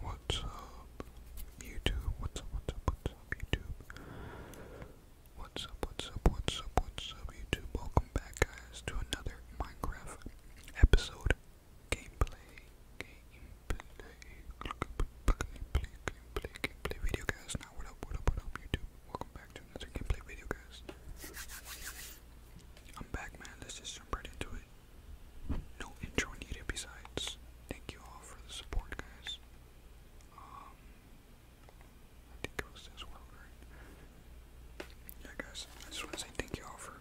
What's up, YouTube? What's up, what's up, what's up, YouTube? What's up, what's up, what's up, what's up, YouTube? Welcome back, guys, to another Minecraft episode. Gameplay, gameplay, gameplay, gameplay, gameplay video, guys. Now, what up, what up, what up, YouTube? Welcome back to another gameplay video, guys. I'm back, man. Let's just jump right into it. No intro needed besides. Thank you all for the support, guys. Um, I think it was this one, Yeah, guys, I just want to say thank you all for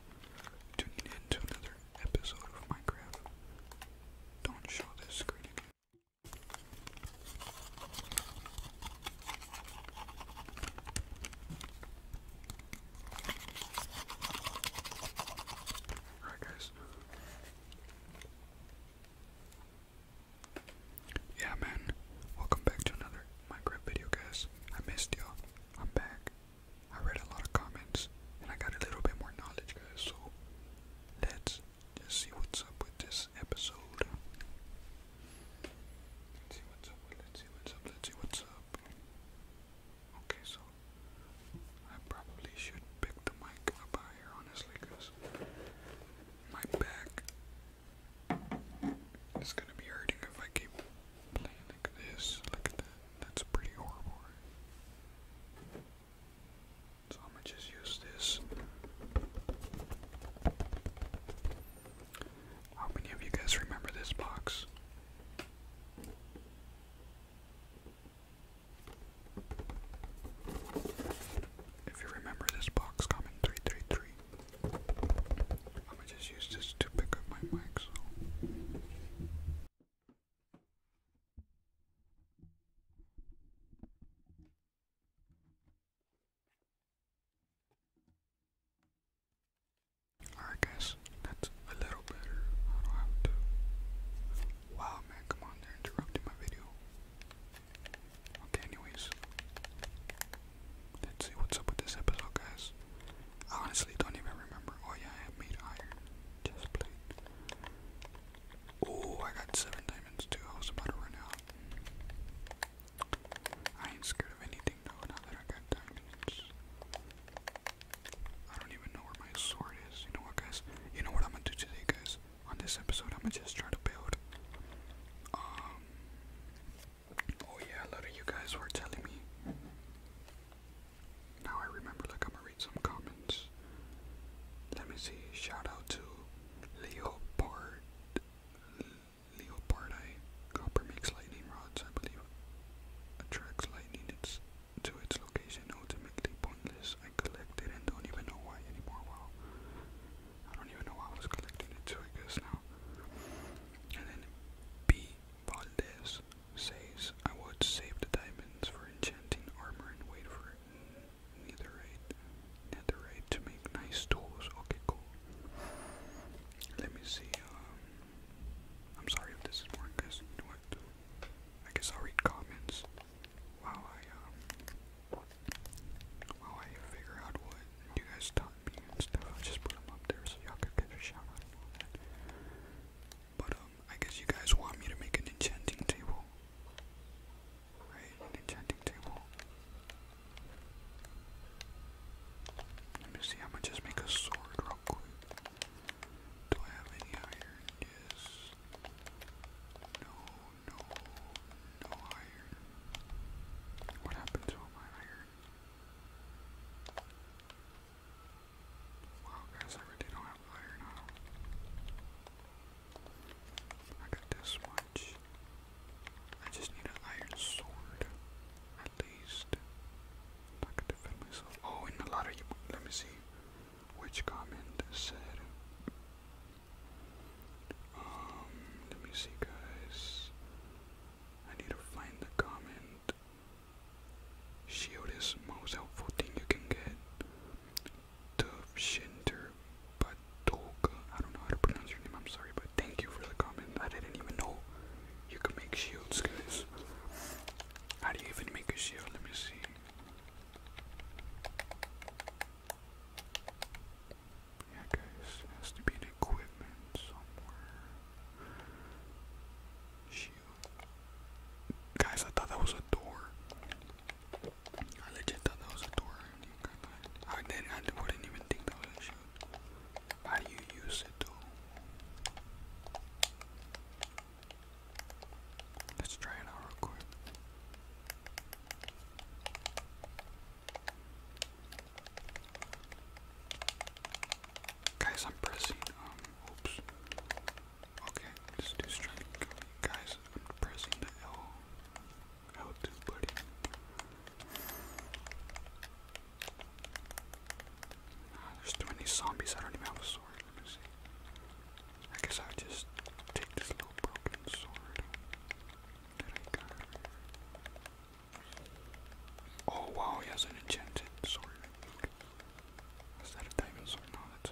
tuning in to another episode of Minecraft. Don't show this screen again. Alright, guys. Yeah, man. Welcome back to another Minecraft video, guys. I missed y'all. I'm back. I read a lot of comments, and I got a little bit more knowledge, guys. So let's just see what's up with this episode. Let's see what's up. Let's see what's up. Let's see what's up. Okay, so I probably should pick the mic up out honestly, because my back is gonna be hurting if I keep playing like this. Look at that. That's pretty horrible. So I'm gonna just use this. How many of you guys remember this box? If you remember this box coming 333, I'm gonna just use this to pick up my mic. Alright guys, that's a little better. I don't have to. Wow man, come on, they're interrupting my video. Okay, anyways. Let's see what's up with this episode, guys. I honestly don't even remember. Oh yeah, I made iron. Just plate. Oh, I got seven diamonds too. I was about to run out. I ain't scared of anything though, now that I got diamonds. I don't even know where my sword is. You know what, guys? You know what I'm gonna do today, guys? On this episode, I'm gonna just try to build. Um, oh yeah, a lot of you guys were telling me. Now I remember. Like I'm gonna read some comments. Let me see. Shout out to Leopard. Leopard, I copper makes lightning rods, I believe. Attracts lightning. It's to its location ultimately pointless. I collected and don't even know why anymore. Wow. I don't even know why I was collecting it too, I guess now. And then B. Valdez says, I would save the diamonds for enchanting armor and wait for netherite, raid to make nice tools. Okay, cool. Let me see. Um, I'm sorry if this is boring, guys. You know what? I guess I'll read comments while I um I figure out what you guys taught me and stuff. I'll just put them up there so y'all could get a shout out and that. But um, I guess you guys want me to make an enchanting table, right? An enchanting table. Let me see. I'm gonna just make a sword real quick. Do I have any iron? Yes. No, no, no iron. What happened to my iron? Wow, guys, I really don't have iron on. I got this much. I just need an iron sword, at least. Not Oh, and a lot of you. Let me see which comment said. Um, let me see, guys. I need to find the comment. Shield is most helpful thing you can get. The Shinter Batoga. I don't know how to pronounce your name. I'm sorry, but thank you for the comment. I didn't even know you could make shields, guys. How do you even make a shield? Let me see. Yeah, guys, has to be an equipment somewhere. Shield. Guys, I thought that was a door. I legit thought that was a door. I didn't, I wouldn't even think that was a shield. How do you use it though? Let's try it out real quick. Guys, I'm pressing, um, oops. Okay, let do strike. Guys, I'm pressing the L, L2 button. There's too many zombies, I don't even have a sword. I guess I just take this little broken sword that I got. Oh wow, he has an enchanted sword. Is that a diamond sword? No, that's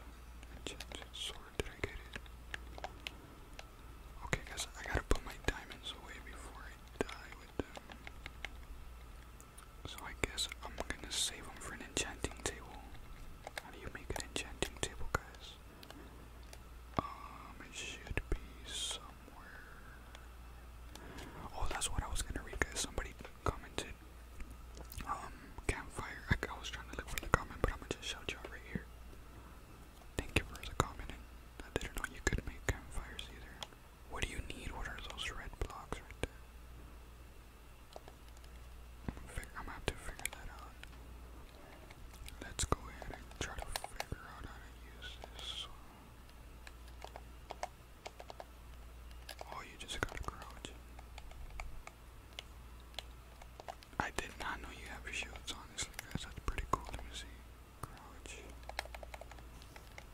enchanted sword. Did I get it? Okay, guys, I gotta put my diamonds away before I die with them. So I guess I'm gonna save them for an enchanting table. How do you make an enchanting table, guys? Um, it should be somewhere. Oh, that's what I was gonna read, guys. Somebody commented, um, campfire. I, was trying to look for the comment, but I'm gonna just shout you right here. Thank you for the comment. I didn't know you could make campfires either. What do you need? What are those red blocks right there? I'm gonna have to figure that out. Let's go ahead and try to figure out how to use this. Oh, you just gotta crouch. I did not know you have shields, honestly, guys. That's pretty cool. Let see. Crouch.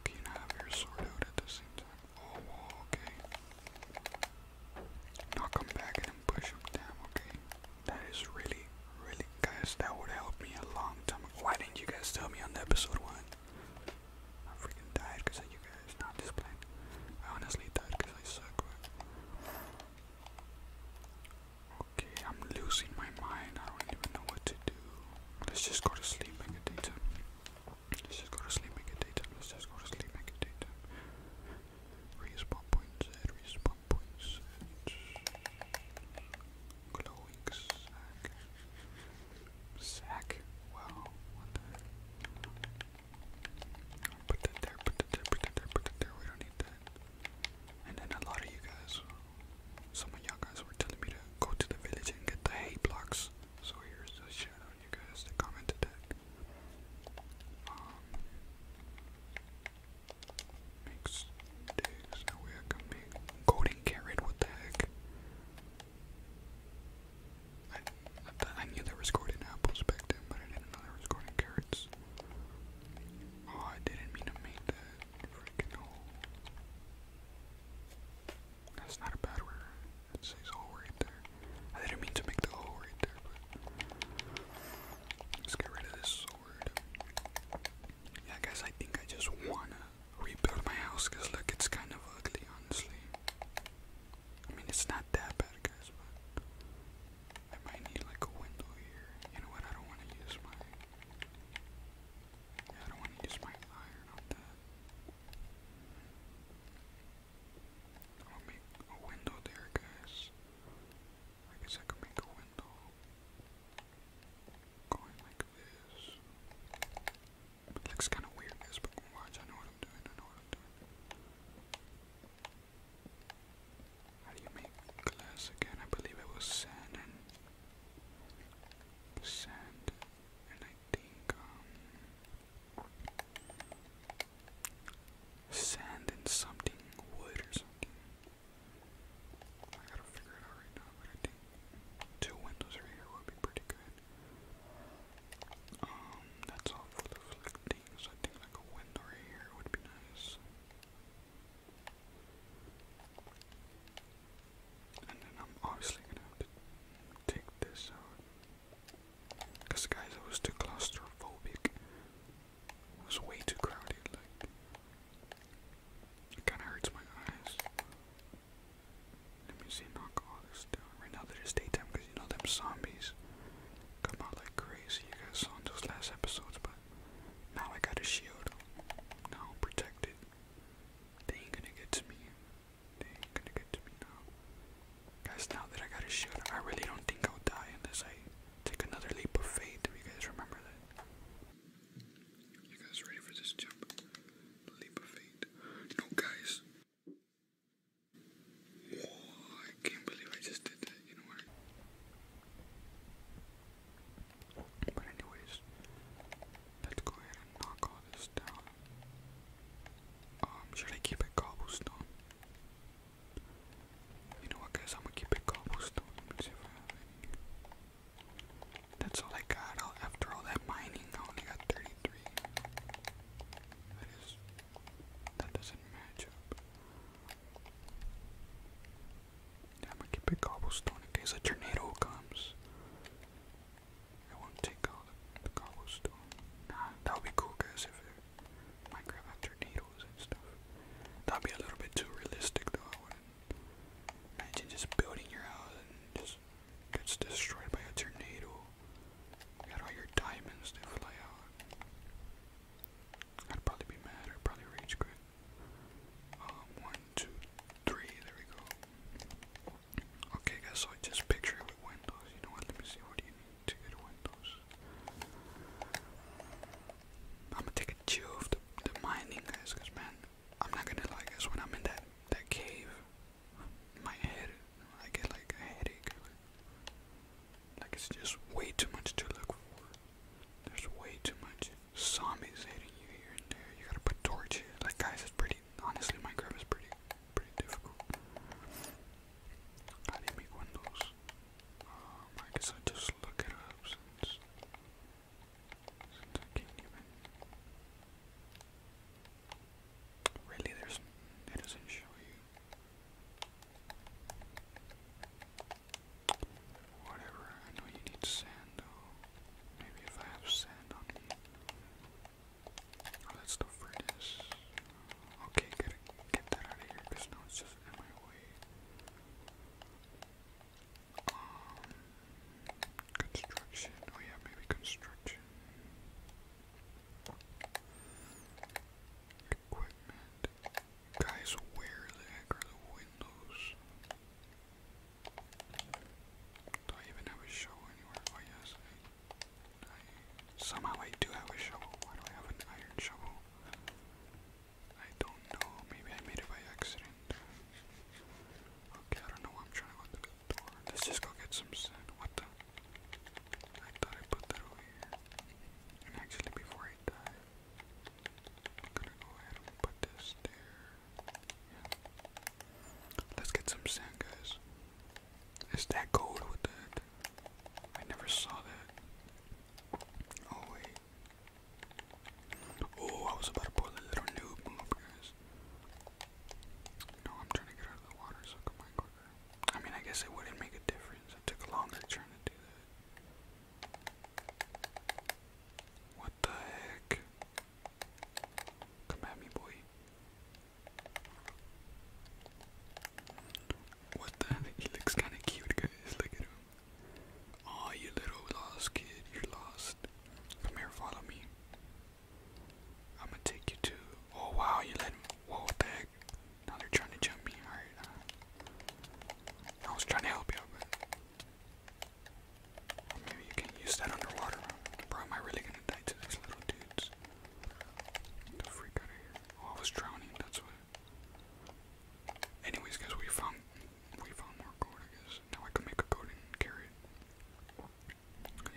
Can you have your sword out at the same time? Oh, okay. I'll come back and push him okay? That is really, really, guys, that would help me a long time ago. Why didn't you guys tell me on the episode one? I freaking died because you guys, not this I honestly died because I suck, Okay, I'm losing my mind. I don't even know what to do. Let's just go to sleep like a daytime. Let's just go to sleep, make it daytime. Let's just go to sleep, make it daytime. Respawn points, uh, points. Glowing sack. Sack? Wow, Put that there, put that there, put that there, put that there. We don't need that. And then a lot of you guys, some of you guys were telling me to go to the village and get the hay blocks. So here's the shadow you guys to comment attack. Um, makes digs no way I can make What the heck? I knew there was golden apples back then, but I didn't know there was golden carrots. Oh, I didn't mean to make that freaking hole. That's not a bad word. It says hole oh right there. I didn't mean to make the hole oh right there, let's get rid of this sword. Yeah, guys, I think I just wanna rebuild my house, because look, it's kind of ugly, honestly. I mean, it's not that bad, guys, but I might need like a window here. You know what? I don't want to use my. I don't want to use my iron on that. I'll make a window there, guys. I guess I could make a window going like this. looks kind of weird, guys, but watch. I know what I'm doing. I know what I'm doing. How do you make glass again? I believe it was sand and sand, and I think um, sand and something wood or something. I gotta figure it out right now, but I think two windows right here would be pretty good. Um, that's all full of like things. I think like a window here would be nice. And then I'm obviously gonna have to take this out. Because guys, I was too claustrophobic. It was way too crowded, like it kinda hurts my eyes. Let me see, knock all this down. Right now they're just daytime because you know them zombies come out like crazy. You guys saw in those last episodes, but now I got a shield. Now I'm protected. They ain't gonna get to me. Dang, could you get to me now? Guys, now that I got a shield, I really don't think I'll die unless I take another leap of faith. If you guys remember that? You guys ready for this jump? Leap of faith. No, guys. I can't believe I just did that, you know what? But anyways, let's go ahead and knock all this down um, should I keep it cobblestone? You know what guys, I'm gonna keep a cobblestone. That's all I got after all that mining. I only got 33. That is, that doesn't match up. I'm gonna keep it cobblestone in case a tornado comes. I want to take all the, cobblestone. Nah, that would be cool, guys, if it Minecraft had tornadoes and stuff. That'd be a little bit too realistic, though. imagine just building your house and just gets destroyed by a tornado. You all your diamonds that fly out. I'd probably be mad. I'd probably rage quit. Um, one, two, three. There we go. Okay guys, so I just picture it with windows. You know what? Let me see what do you need to get windows. I'm gonna take a chill of the, the mining guys, cause man, I'm not gonna like this when I'm in that that cave, my head I get like a headache. Like it's just way too much to look for. There's way too much zombies hitting you here and there. You gotta put torches. Like guys, it's pretty honestly Minecraft is pretty pretty difficult. How do you make windows? I guess I just look it up since, I can't even. Really, there's it doesn't show you. Whatever. I know you need sand though. Maybe if I have sand on me, Oh, that's the furnace. Okay, gotta get that out of here now it's just in my way. Um, construction. Oh yeah, maybe construction. Equipment. Guys, where the heck are the windows? Do I even have a show anywhere? Oh yes somehow I do have a shovel. Why do I have an iron shovel? I don't know. Maybe I made it by accident. Okay, I don't know why I'm trying to go the door. Let's just go get some sand. What the? I thought I put that over here. And actually, before I die, I'm gonna go ahead and put this there. Let's get some sand, guys. Is that gold with that? I never saw that. Oh wait. Oh, I was about to pull the little noob move, guys. No, I'm trying to get out of the water, so come on, quicker. I mean, I guess it wouldn't make a difference. It took longer trying to do that. What the heck? Come at me, boy. What the heck? He looks kind of cute, guys. Look at him. oh, you little lost kid. You're lost. Come here, follow me. I'm gonna take you to. Oh, wow, you let him. Whoa, what Now they're trying to jump me. Alright, I was trying to help you, but. Maybe you can use that underwater. Bro, am I really gonna die to these little dudes? The freak out of here. Oh, I was drowning, that's what. Anyways, guys, we found we found more gold, I guess. Now I can make a gold and carry taking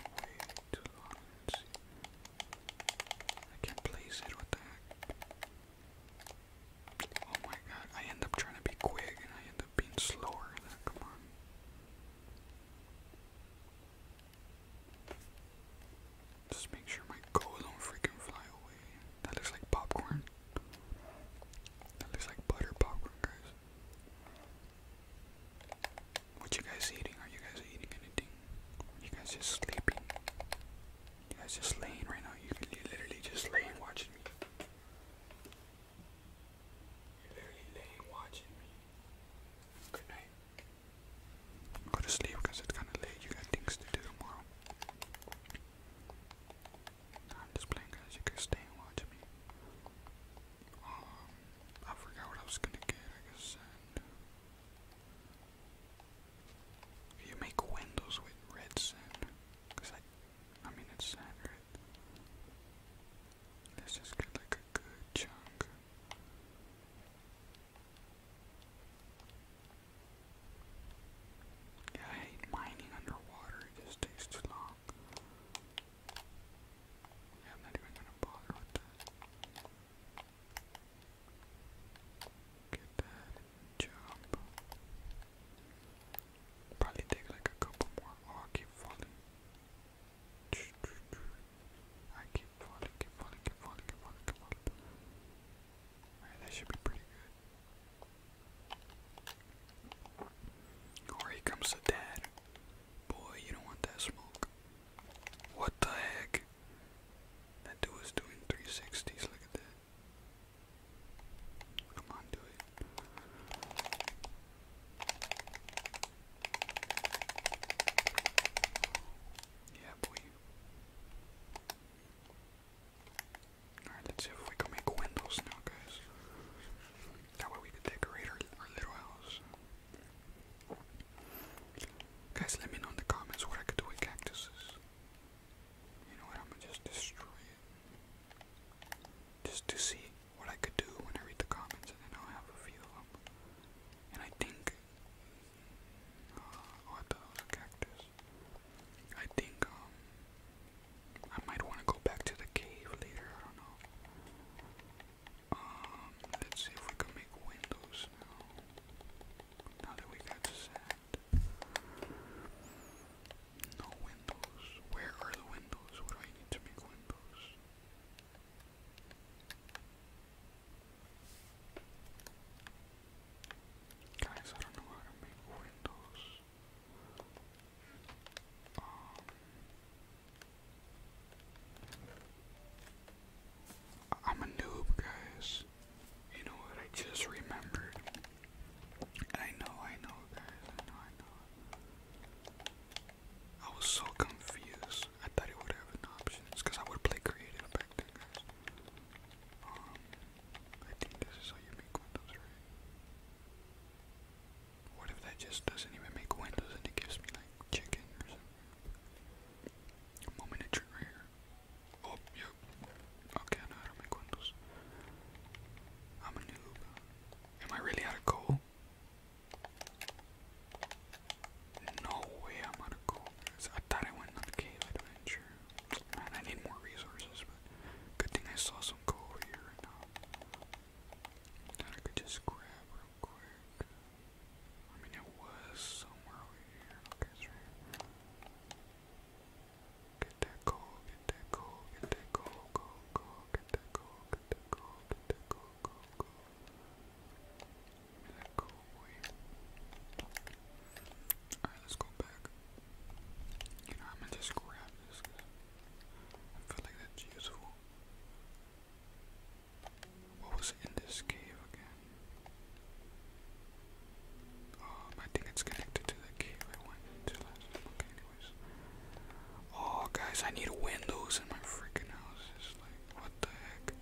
way I can't place it, what the heck? Oh my god, I end up trying to be quick and I end up being slower. Come on. Just make sure my gold don't freaking fly away. That looks like popcorn. That looks like butter popcorn, guys. What you guys eating? Are you guys eating anything? Are you guys just sleeping? You guys just laying right now. You are literally just laying watching me. You're literally laying watching me. Good night. Go to sleep because it's kind of late. You got things to do tomorrow. I'm just playing guys. You guys stay and watch me. Um, I forgot what I was gonna get. I guess You make windows with red sand. Cause I, I mean it's sand, right? let like a good chunk. Yeah, I hate mining underwater, it just takes too long. I'm not even gonna bother with that. Get that and Probably take like a couple more. Oh, I keep falling. I keep falling, keep falling, keep falling, keep falling, keep falling. Alright, that should be pretty good. here comes the dad. Boy, you don't want that smoke. What the heck? That dude was doing 360s, look at that. Come on, do it. Yeah, boy. Alright, let's see if we can make windows now, guys. That way we can decorate our, little house. Guys, let me know in the comments what I could do with cactuses. You know what? I'm gonna just destroy it. Just to see what I could do when I read the comments, and then I'll have a few of them. And I think, uh, oh, I cactus. I think, um, I might want to go back to the cave later, I don't know. Um, let's see if we can make windows now. Now that we got sand. No windows. Where are the windows? What do I need to make windows? Guys, I don't know how to make windows. Um, I'm a noob, guys. You know what? I just remembered. I know, I know, guys. I know, I know. I was so confused. I thought it would have an option. because I would play creative back then, guys. Um, I think this is how you make windows, right? What if that just doesn't even make windows and it gives me like chicken or something? Moment of here. Oh, yep. Okay, I know how to make windows. I'm a noob. Am I really out of coal? No way I'm gonna go. I thought I went on the cave adventure. Man, I need more resources, but good thing I saw some gold here right uh, I could just grab real quick. I mean, it was somewhere over here. Okay, it's right here. Get that gold, get that gold, get that gold, gold, gold, get that gold, get that gold, get that gold, gold, Alright, let's go back. You know, I'm gonna just grab this I feel like that's useful. What was in this cave again? Um, I think it's connected to the cave I went into last time. Okay, anyways. Oh, guys, I need windows in my freaking house. What the heck?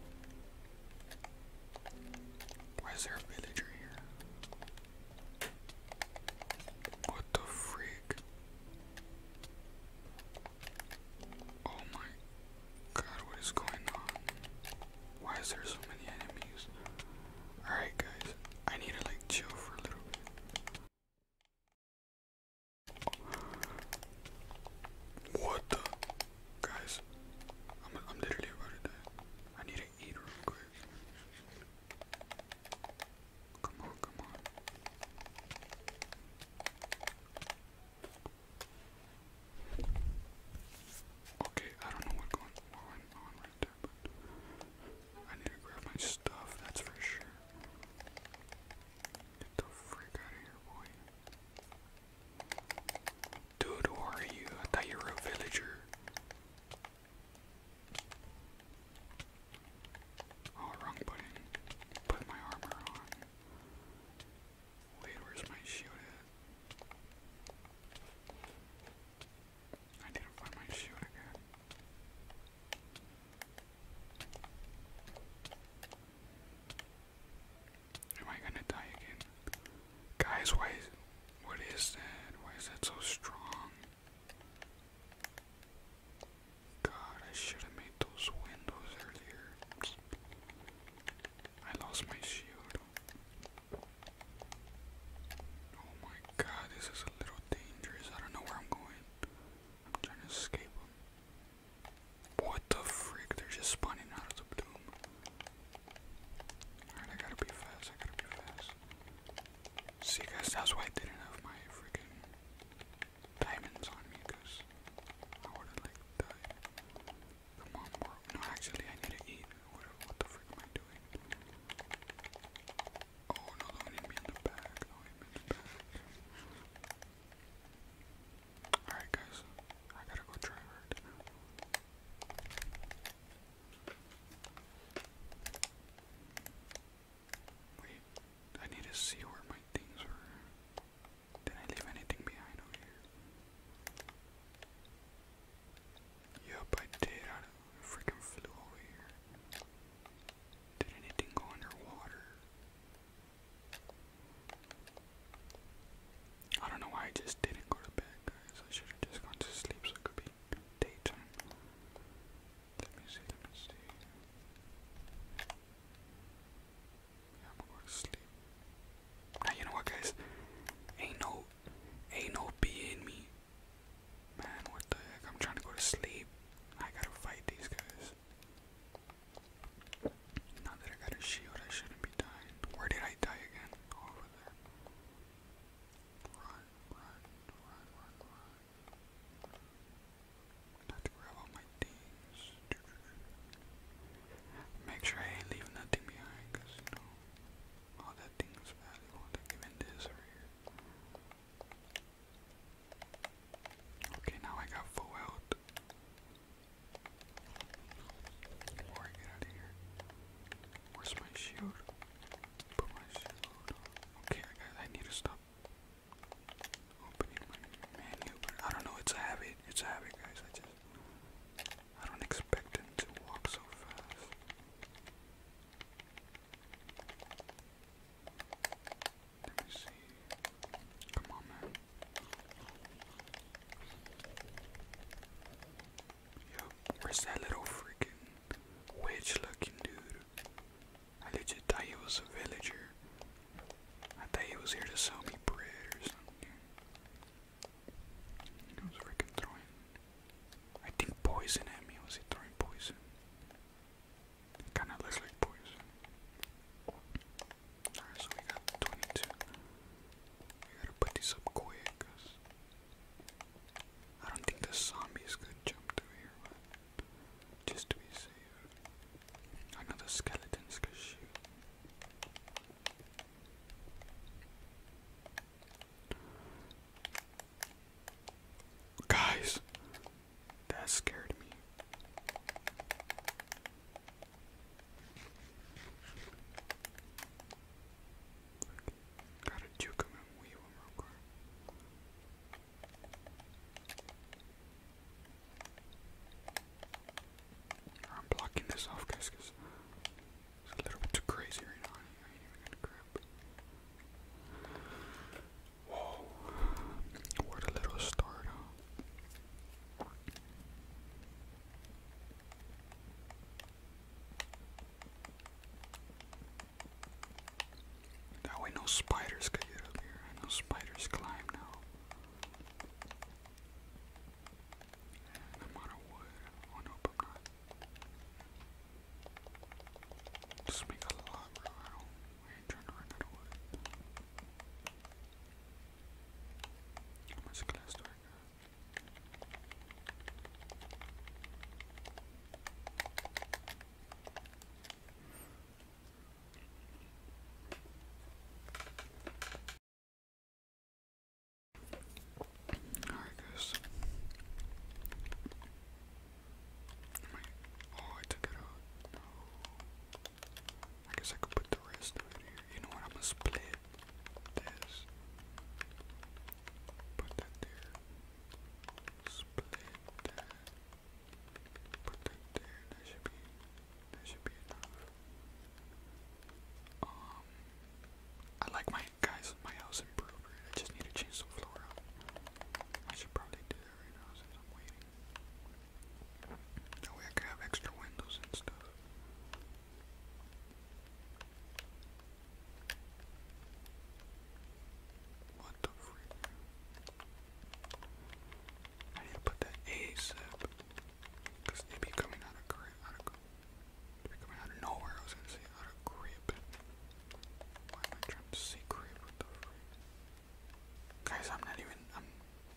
Why is there a villager here? What the freak? Oh my god, what is going on? Why is there so many enemies? Alright guys, I need to like chill for a little bit. What the? Guys, I'm, literally about to die. I need to eat real quick. Come on, come on. Okay, I don't know what going on right there, but I need to grab my stuff, that's for sure. Get the freak out of here, boy. Dude, who are you? I thought you were a villager. Oh, wrong button. Put my armor on. Wait, where's my shield I didn't find my shield again. Am I gonna die again? Guys, why what is that? Why is that so strong? God, I should have made those windows earlier. I lost my shield. Oh my god, this is a little dangerous. I don't know where I'm going. I'm trying to escape what the frick? They're just spawning out of the doom. Alright, I gotta be fast, I gotta be fast. See guys, that's why I didn't have my freaking diamonds on me, because I would've like died. Come on, bro. No, actually I need to eat. What, the frick am I doing? Oh no, do in the back. Alright, guys, I gotta go try hard. Wait, I need to see where my things are. Did I leave anything behind over here? Yup, I did. I freaking flew over here. Did anything go underwater? I don't know why I just didn't go to bed, guys. I should have just gone to sleep so it could be daytime. Let me see, let me I'm going to sleep. Now, you know what, guys? Ain't no, ain't no B in me. Man, what the heck? I'm trying to go to sleep. I gotta fight these guys. Now that I got a shield, I shouldn't be dying. Where did I die again? Over there. Run, run, run, run, run. Not to grab all my things. Make sure I ain't leaving nothing behind, cause you know, all that thing's valuable. Like even this right here. Okay, now I got full health. Alright, get out of here. Where's my shoe? Put my shield on. Okay, I, I need to stop opening my menu, but I don't know, it's a habit. It's a habit, guys. I just. I don't expect them to walk so fast where's that little freaking witch looking dude? I legit thought he was a villager. I thought he was here to sell me bread or something. He was freaking throwing. I think poison at me. Was he throwing poison? kinda looks like poison. Alright, so we got 22. We gotta put these up quick, cause I don't think the zombies could jump through here, just to be safe. I know the skeletons could shoot. Guys, that scared me. Cara, Duca mesmo, o Iwan Rogar. I'm blocking this off, guys, because it's a little bit too crazy right now. I ain't even gonna grab. Whoa, what a little start, that way no spiders could get up here. I know spiders climb now. I'm out of wood. Oh nope, I'm not. Just make a lot, bro. I ain't trying to run out of wood. How much glass do I got? Oh, I took it out. I guess I could put the rest of it here. You know what? I'm gonna split this. Put that there. Split that. Put that there. That should be. That should be enough. Um. I like my guys. My house improved. I just need to change the floor out. I should probably do that right now since I'm waiting. That I could have extra windows and stuff. What the freak? I need to put that ASAP. Because they be be coming out of nowhere. I was going to say out of grip. Why am I trying to say grip? What the freak? Guys, I'm not even.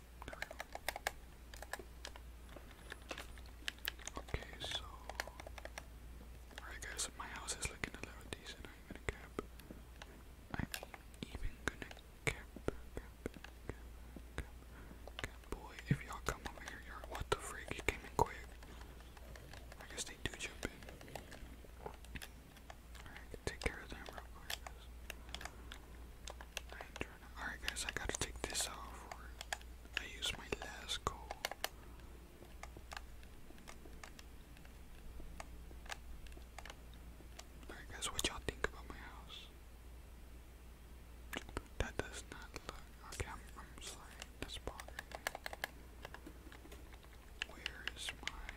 Okay, so alright guys, my house is looking a little decent. I'm gonna cap. I'm even gonna cap, cap, cap, cap, cap. Boy, if y'all come over here, what the freak? You came in quick. I guess they do jump in. Alright, take care of them real quick. I Alright guys, I gotta take this off or I use my last call. Alright guys, what y'all think about my house? That does not look okay, I'm I'm Where is my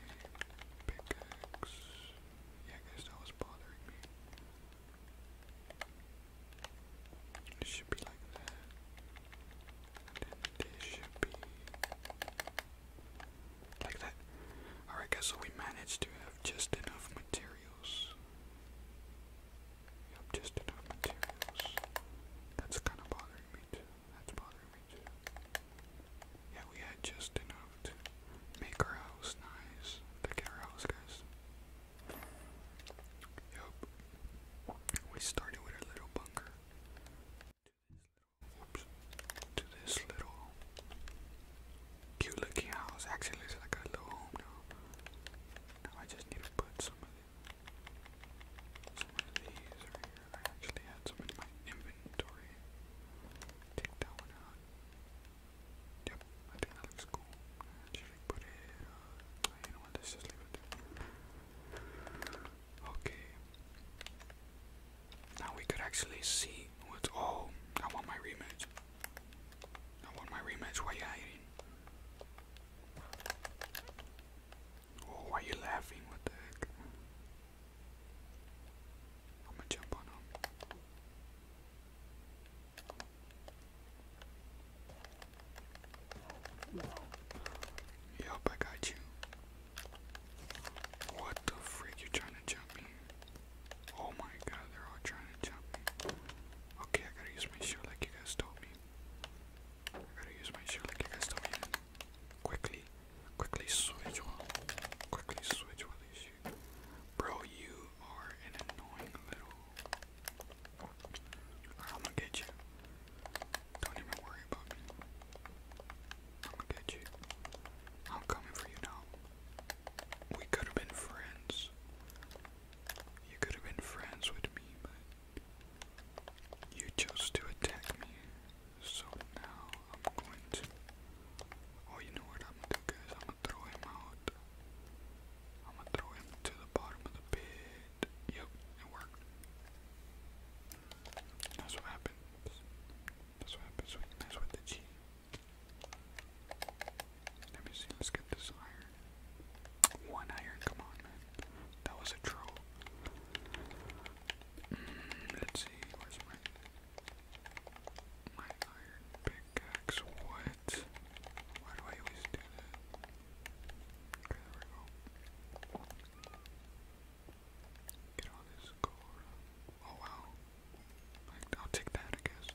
pickaxe? Yeah guys that was bothering me. It should be like that. And should be like that. Alright guys, so we managed to have just enough materials. Yep, just enough materials. That's kinda bothering me too. That's bothering me too. Yeah, we had just enough make our house nice, look our house, guys. Yup, we started with a little bunker. To this little cute looking house. Actually, it's like a little home now. Now I just need to put some of, the, some of these right here. I actually had some in my inventory. Take that one out. Yep, I think that looks cool. Should we put it, you uh, know what, let's just leave it there. Okay. Now we could actually see what's, oh, I want my rematch. I want my rematch, why are you hiding? Oh, why you laughing? What the heck? I'm gonna jump on him. Yup, I got you. What the freak? You're trying to jump me? Oh my god, they're all trying to jump me. Okay, I gotta use my shield like you guys told me. gotta use my shield like you guys told me. Quickly, quickly switch one. Quickly switch one of these you. Bro, you are an annoying little. I'm gonna get you. Don't even worry about me. I'm gonna get you. I'm coming for you now. We could have been friends. You could have been friends with me, but you chose to attack me. So now I'm going to Oh, you know what I'm gonna do, guys? I'm gonna throw him out. I'm gonna throw him to the bottom of the pit. Yep, it worked. That's what happens. That's what happens when you mess with the G. Let me see, let's get this iron. One iron, come on, man. That was a troll. Mm, let's see, where's my. My iron pickaxe, what? Why do I always do that? Okay, there we go. Get on this car. Oh wow. I'll take that, I guess.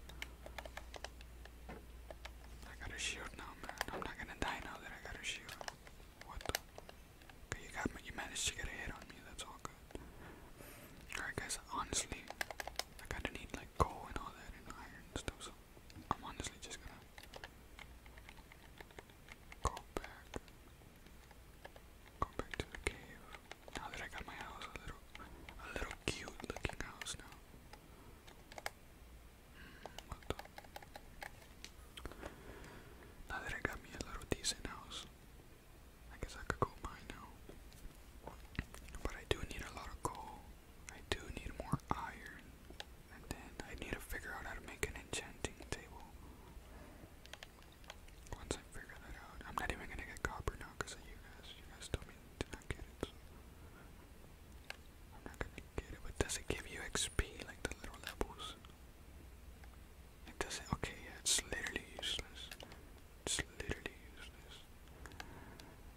I got a shield now, man. I'm not gonna die now that I got a shield. What the? you got You managed to get a hit on me. That's all good. Alright, guys. Honestly, I kinda need like and all that and iron stuff, I'm honestly just gonna go back. Go back to the cave. Now that I got my house a little a little cute looking house now. Hmm, what the now that I got me little decent house, I guess I could go mine now. But I do need a lot of coal. I do need more iron. And then I need to figure out how to make an enchanting table. Once I figure that out, I'm not even gonna get copper now because of you guys. You guys told me to not get it. I'm not gonna get it. But does it give you XP like the little levels? It does Okay, yeah, it's literally useless. It's literally useless.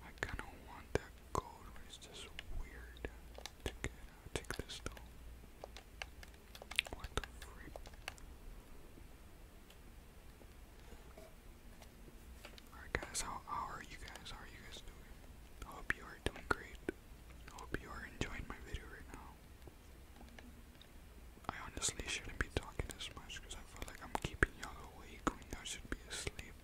I kind of want that gold, it's just weird to get. i take this though. What the freak? Alright guys, how, are you guys? How are you guys doing? hope you are doing great. hope you are enjoying my video right now. I honestly shouldn't be talking this much because feel like I'm keeping you awake when you should be asleep.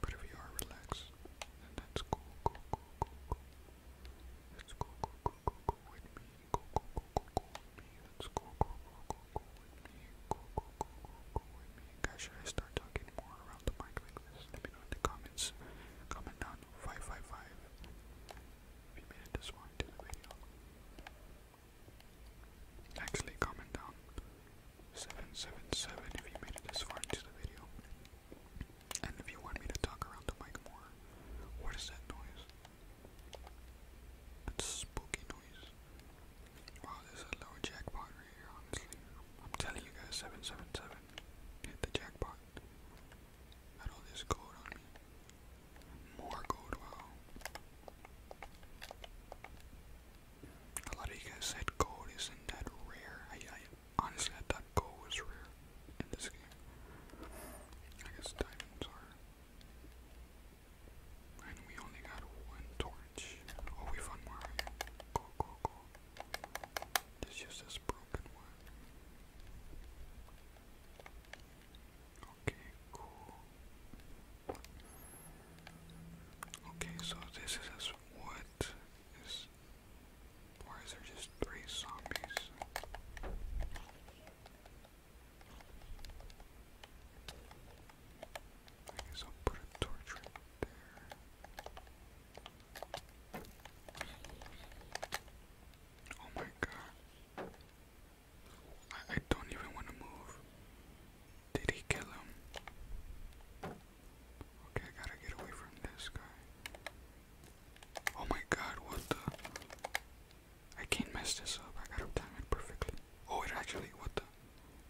But if you are relaxed, then that's cool, cool, cool, cool, cool. cool, cool, cool, cool, with me. Cool, cool, cool, cool, with me. That's cool, cool, cool, cool, with me. Cool, cool, cool, cool, with me. Guys, should I start talking more around the mic like this? Let me know in the comments. Comment down 555 if you made it this far into the video. Actually, comment down 777 if you made it this far into the video. And if you want me to talk around the mic more, what is that noise? That's spooky noise. Wow, this is a low jackpot right here, honestly. I'm telling you guys, 777 hit the jackpot. Had all this gold on me. More gold, wow. A lot of you guys said gold isn't that rare. I, honestly I thought gold was rare in this game. I guess diamonds are. And we only got one torch. Oh, we found more. Go, go, go. This is just this broken one. Okay, cool. Okay, so this is what is why is there just three zombies? I put a torch there. Oh my god. I, don't even want to move. Did he kill him? Okay, I gotta get away from this guy. Oh my god, what the? I can't mess this up. I gotta time it perfectly. Oh, it actually, what the?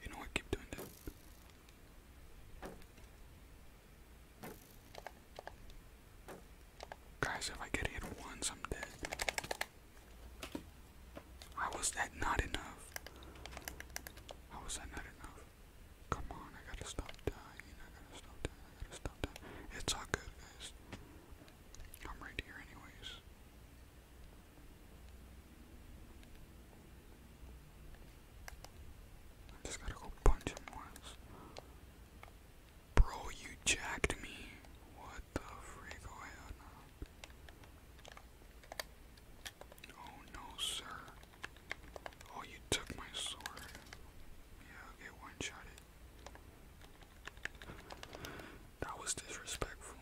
You know, I keep doing that. Guys, if I get hit once, I'm dead. How was that not enough? How was that not enough? Come on, I gotta stop dying. I gotta stop dying. I gotta stop dying. It's all good, guys. I'm right here, anyways. I just gotta go punch him once. Bro, you jacked me. What the freak Oh no, sir. Oh, you took my sword. Yeah, I'll get one shot That was disrespectful.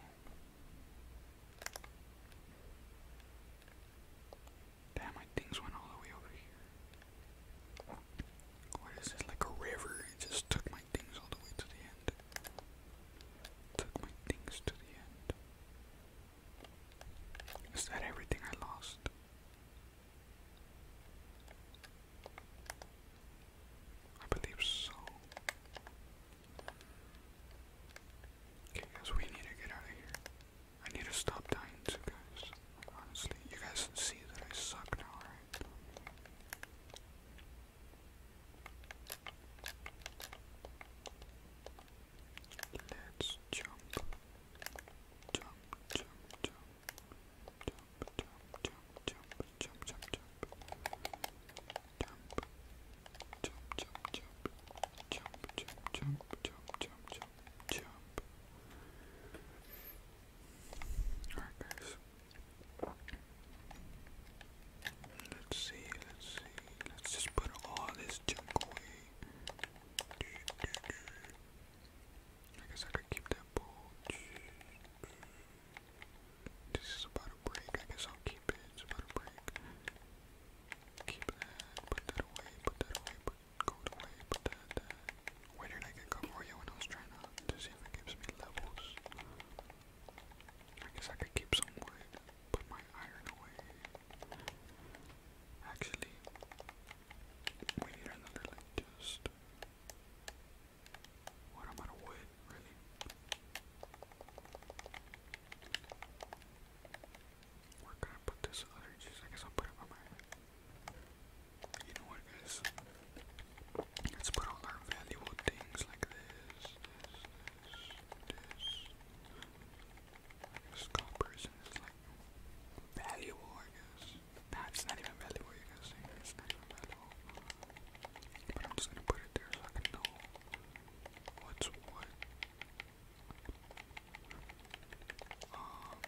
Damn, my things went all the way over here. What is this? Like a river? It just took my Took my things to the end. Is that everything I lost? I believe so. Okay, guys, we need to get out of here. I need to stop dying guys. Honestly, you guys see that I suck now, Let's jump, jump, jump, jump, jump, jump, jump, jump, jump, jump, jump, jump, jump, jump. Jump, jump, jump, jump, jump, jump, jump. Alright, guys, Let's see, let's see. Let's just put all this junk away. I guess I could keep that bowl. This is about a break. I guess I'll keep it. It's about a break. Keep that. Put that away. Put that away. Put, go away. Put that. that. did I get Gamoria when I was trying to, to see gives me levels? I guess I could keep some wood, put my iron away. Actually, we need another, like, just. What? i wood, really? Where can I put this other juice? I guess I'll put it by my. You know what, guys? Let's put all our valuable things like this, this, this, this. Skull person is like valuable, I guess. Nah, it's not even valuable, you guys see. It's not even valuable. But I'm just gonna put it there so I can know what's what. Um,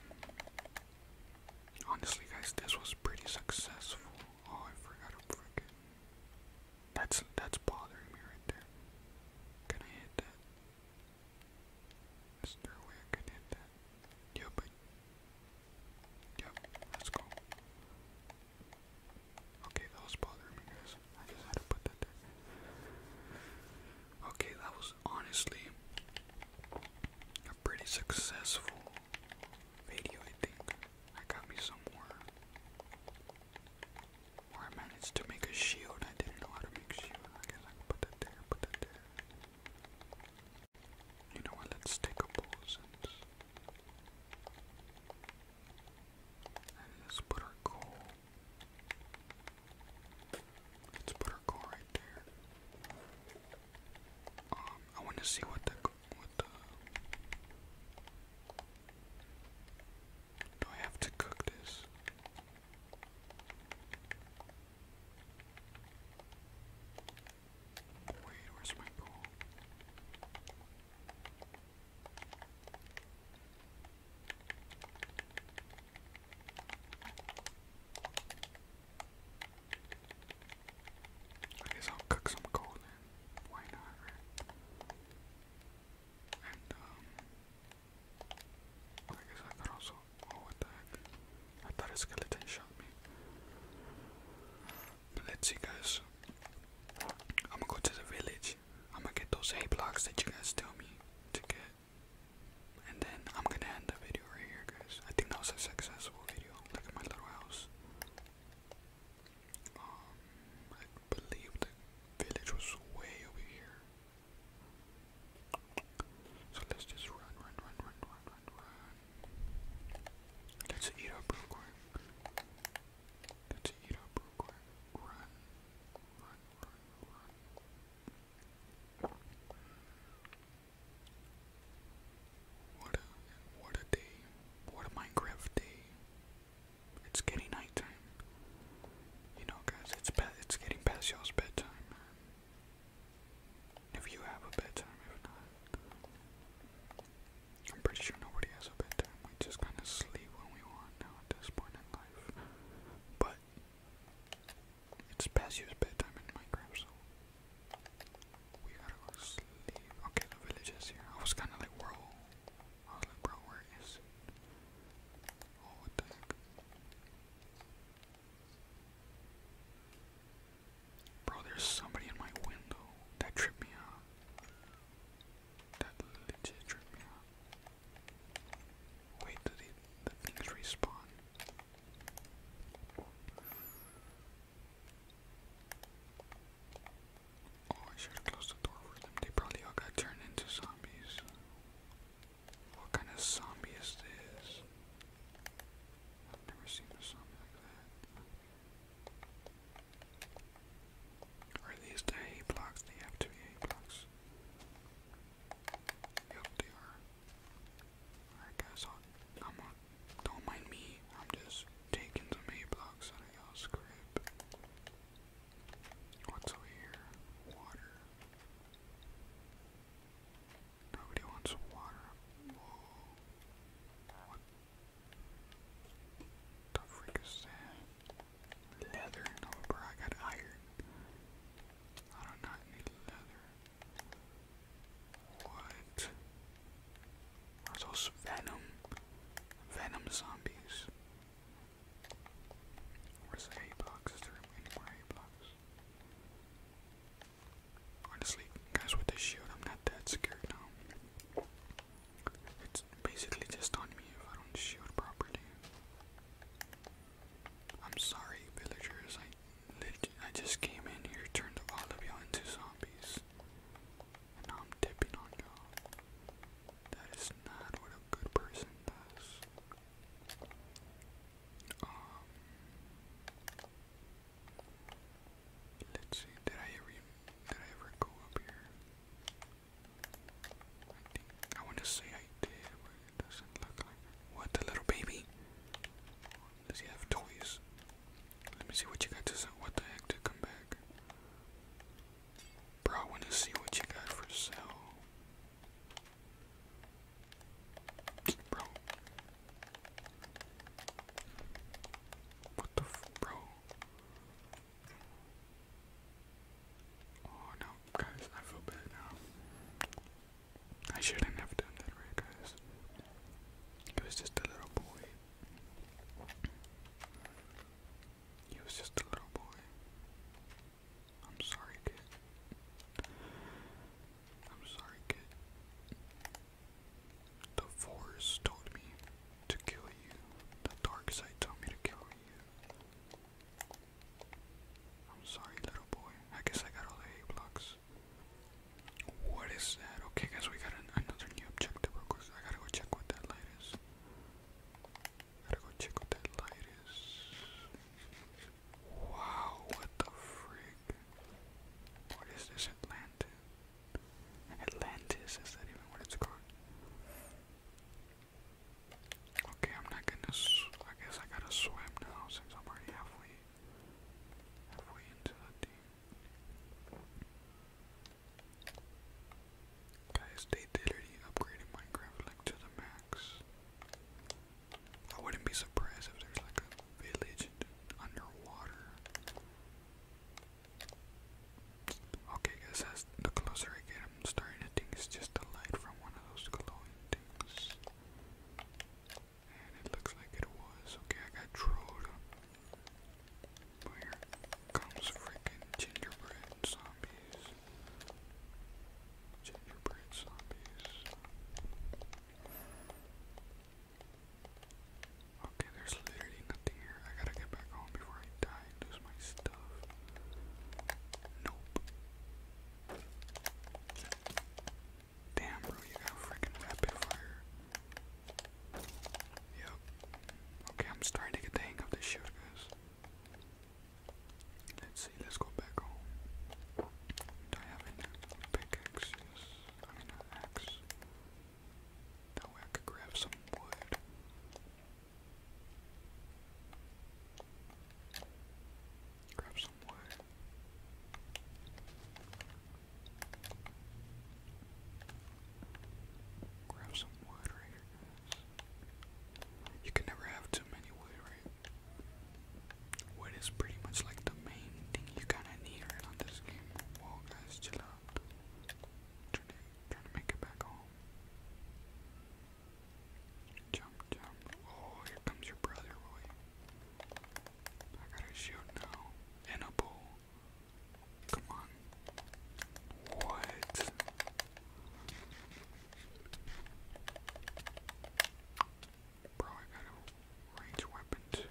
honestly, guys, this was pretty successful. Oh, I forgot to freaking that's that's bothering me right there. Can I hit that? Is there a way I can hit that? Yep. yep. Let's go. Okay, that was bothering me, guys. I just had to put that there. Okay, that was honestly pretty successful video, I think. I got me some more. Or I managed to make a shield. I didn't know how to make shield. I guess I put that there, put that there. You know what? Let's take a bowl And let's put our coal. Let's put our coal right there. Um, I want to see what the what the? Do I have to cook this? Wait, where's my bowl? I guess I'll cook some coal why not, And, um, I guess I could also, oh, what the I thought a skeleton shot me. Let's see, guys, I'm gonna go to the village, I'm gonna get those hay blocks that you guys told me to get, and then I'm gonna end the video right here, guys. I think that was a successful video, look at little house. Um, I believe the village was way over here. So let's just run, run, run, run, run, run, run. Let's eat up real quick. Let's eat up real quick. Run, run, run, run. What a what a day. What a Minecraft day. It's getting nighttime. You know, guys, it's it's getting past y'all's bedtime. If you have a bedtime, if not, I'm pretty sure nobody has a bedtime. We just kind of sleep when we want now at this point in life. But it's past y'all's bedtime in my Minecraft, so we gotta go sleep. Okay, the village here. I was kind of like, whoa bro, where is it? Oh, what the heck? Bro, there's somebody in my window. That tripped me out. That legit tripped me out. Wait, did the things respawn? Oh, I should have closed the door for them. They probably all got turned into zombies. What kind of zombie is this? I've never seen a zombie like that. Are these the blocks? They have to be blocks. Yep, they are. Alright guys, i I'm a, don't mind me. I'm just taking some A blocks out of y'all's crib. What's over here? Water. Nobody wants water. Whoa. What the freak is that? Leather? No, bro, I got iron. I do not need leather. What? Those Venom. Venom zombies. Where's the blocks? Is there any more hay blocks? Honestly, guys, with this shield, I'm not that scared now. It's basically just on me if I don't shield properly. I'm sorry, villagers. I, I just came in here, turned all of y'all into zombies and I'm tipping on y'all. is not what a good person does. Um, let's see. Did I ever? Did I ever go up here? I want to say I did, but it doesn't look like. What the little baby? Does he have toys? Let me see what you got to say. What the heck to come back? Bro, I want to see what you got for sale. Bro. What the bro? Oh no, guys, I feel bad now. I shouldn't have done that, guys? It was just a little boy. He was just a little boy. I'm sorry, kid. I'm sorry, kid. The forest told me to kill you. The dark side told me to kill you. I'm sorry, little boy. I guess I got all the hay blocks. What is that? Okay, guys, we got another new objective, of course. I gotta go check what that light is. Gotta go check what that light is. Wow, what the frig? What is this, Atlantis? Atlantis, is that even what it's called? Okay, I'm not gonna, I guess I gotta swim now since I'm already halfway, halfway into the thing. Guys, they literally upgraded Minecraft like to the max. I wouldn't be surprised if there's like a village underwater. Okay guys, as the closer I get, I'm starting to think it's just a light from one of those glowing things. And it looks like it was. Okay, I got trolled. But here comes freaking gingerbread zombies. Gingerbread zombies. Okay, there's literally nothing here. I gotta get back home before I die and lose my stuff. Nope. Damn, bro, you got freaking rapid fire. Yep. Okay, I'm starting to get the hang of this shoot, guys. Let's see, let's go back home. I have any pickaxes? I mean, an axe. That way I could grab some wood. Grab some wood. Grab some wood right here, guys. You can never have too many wood, right? Wood is pretty much like the main thing you kinda need right on this game. Whoa, guys, chill out. Trying to, trying to make it back home. Jump, jump. Oh, here comes your brother, Roy. I got a shield now. And a bow. Come on. What? Bro, I got a range weapon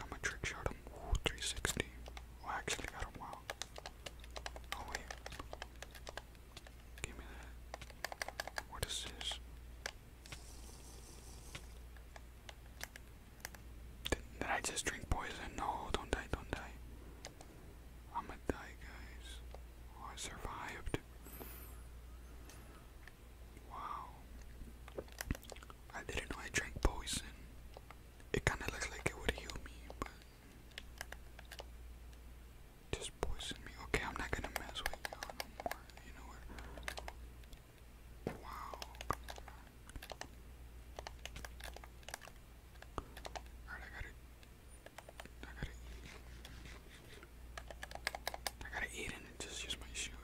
I'm a trick 360. I actually got him. Wow. Oh, wait. Give me that. What is this? Did, I just drink poison? No, don't die, don't die. I'ma die, guys. Oh, I survived. Wow. I didn't know I drank poison. It kinda looks like it would heal me, but. Just poison me. Okay, I'm not gonna mess with you no more. You know what? Wow. Alright, I gotta I gotta I gotta eat and just use my shield.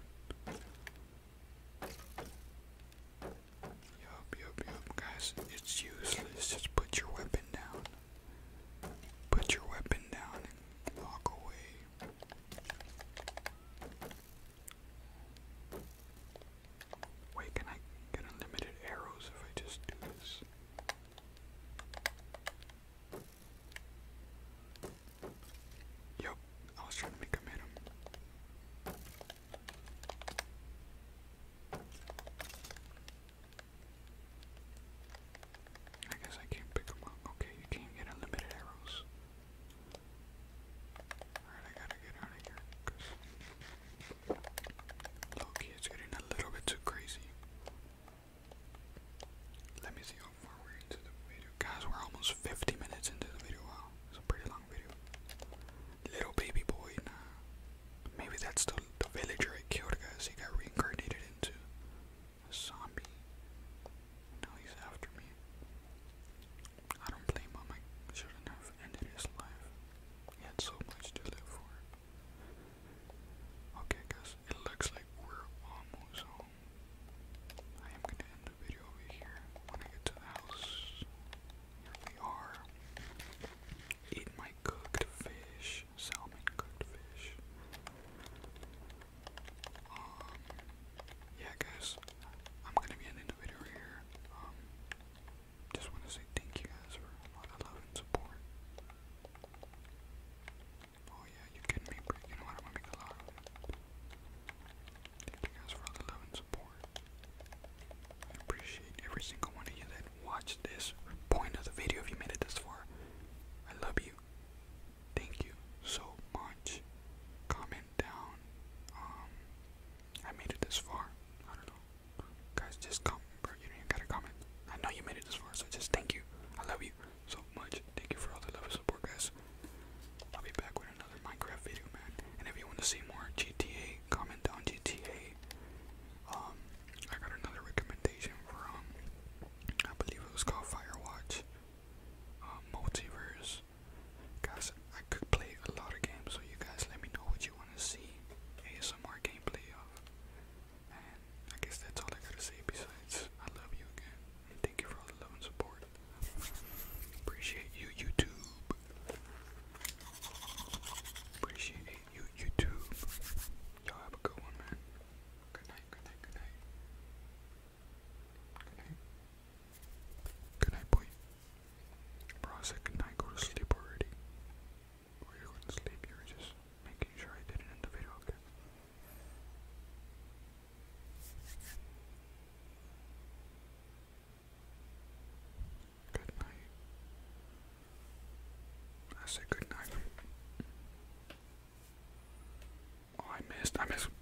Yup, yup, yup, guys, it's useless. Just put your weapon down. Put your weapon down and walk away. Wait, can I get unlimited arrows if I just do this? Yup, I was trying to make him hit I guess I can't pick them up. Okay, you can't get unlimited arrows. Alright, I gotta get out of here Loki is getting a little bit too crazy. Let me see how far we're into the video. Guys, we're almost 50 minutes into the video. it's a pretty long video. Little baby boy, nah. Maybe that's the, the villager I killed, guys. He got reincarnated into a zombie. Now he's after me. I don't blame him. I shouldn't have ended his life. He had so much to live for. Okay, guys, it looks like we're almost home. I am gonna end the video over here. When I get to the house, here we are. Eat my cooked fish, salmon cooked fish. Um, yeah, guys, I'm gonna be ending the video here. Um, just want to say thank you guys for all the love and support. Oh yeah, you kidding me? Bro? You I'm going a lot of it. Thank you guys for all the love and support. I appreciate every single one of you that watched this point of the video. If you made it this far, I love you thank you so much. Comment down. Um, I made it this far. I don't know, guys. Just comment, You don't even gotta comment. I know you made it this far, so just thank you. I love you so much. Thank you for all the love and support, guys. I'll be back with another Minecraft video, man. And if you want to see more GTA, comment down GTA. Um, I got another recommendation from, I believe it was called Firewatch, uh, Multiverse, Guys, I could play a lot of games, so you guys let me know what you want to see ASMR gameplay of. And I guess that's all I gotta say besides, I love you again. thank you for all the love and support. Appreciate you, YouTube. Appreciate you, YouTube. Y'all have a good one, man. Good night, good night, good night. Good night, boy. Bro, I said good night. Go to sleep already. Or you couldn't sleep. You were just making sure I didn't end the video. Okay. Good night. I said good night. Oh, I missed. I missed.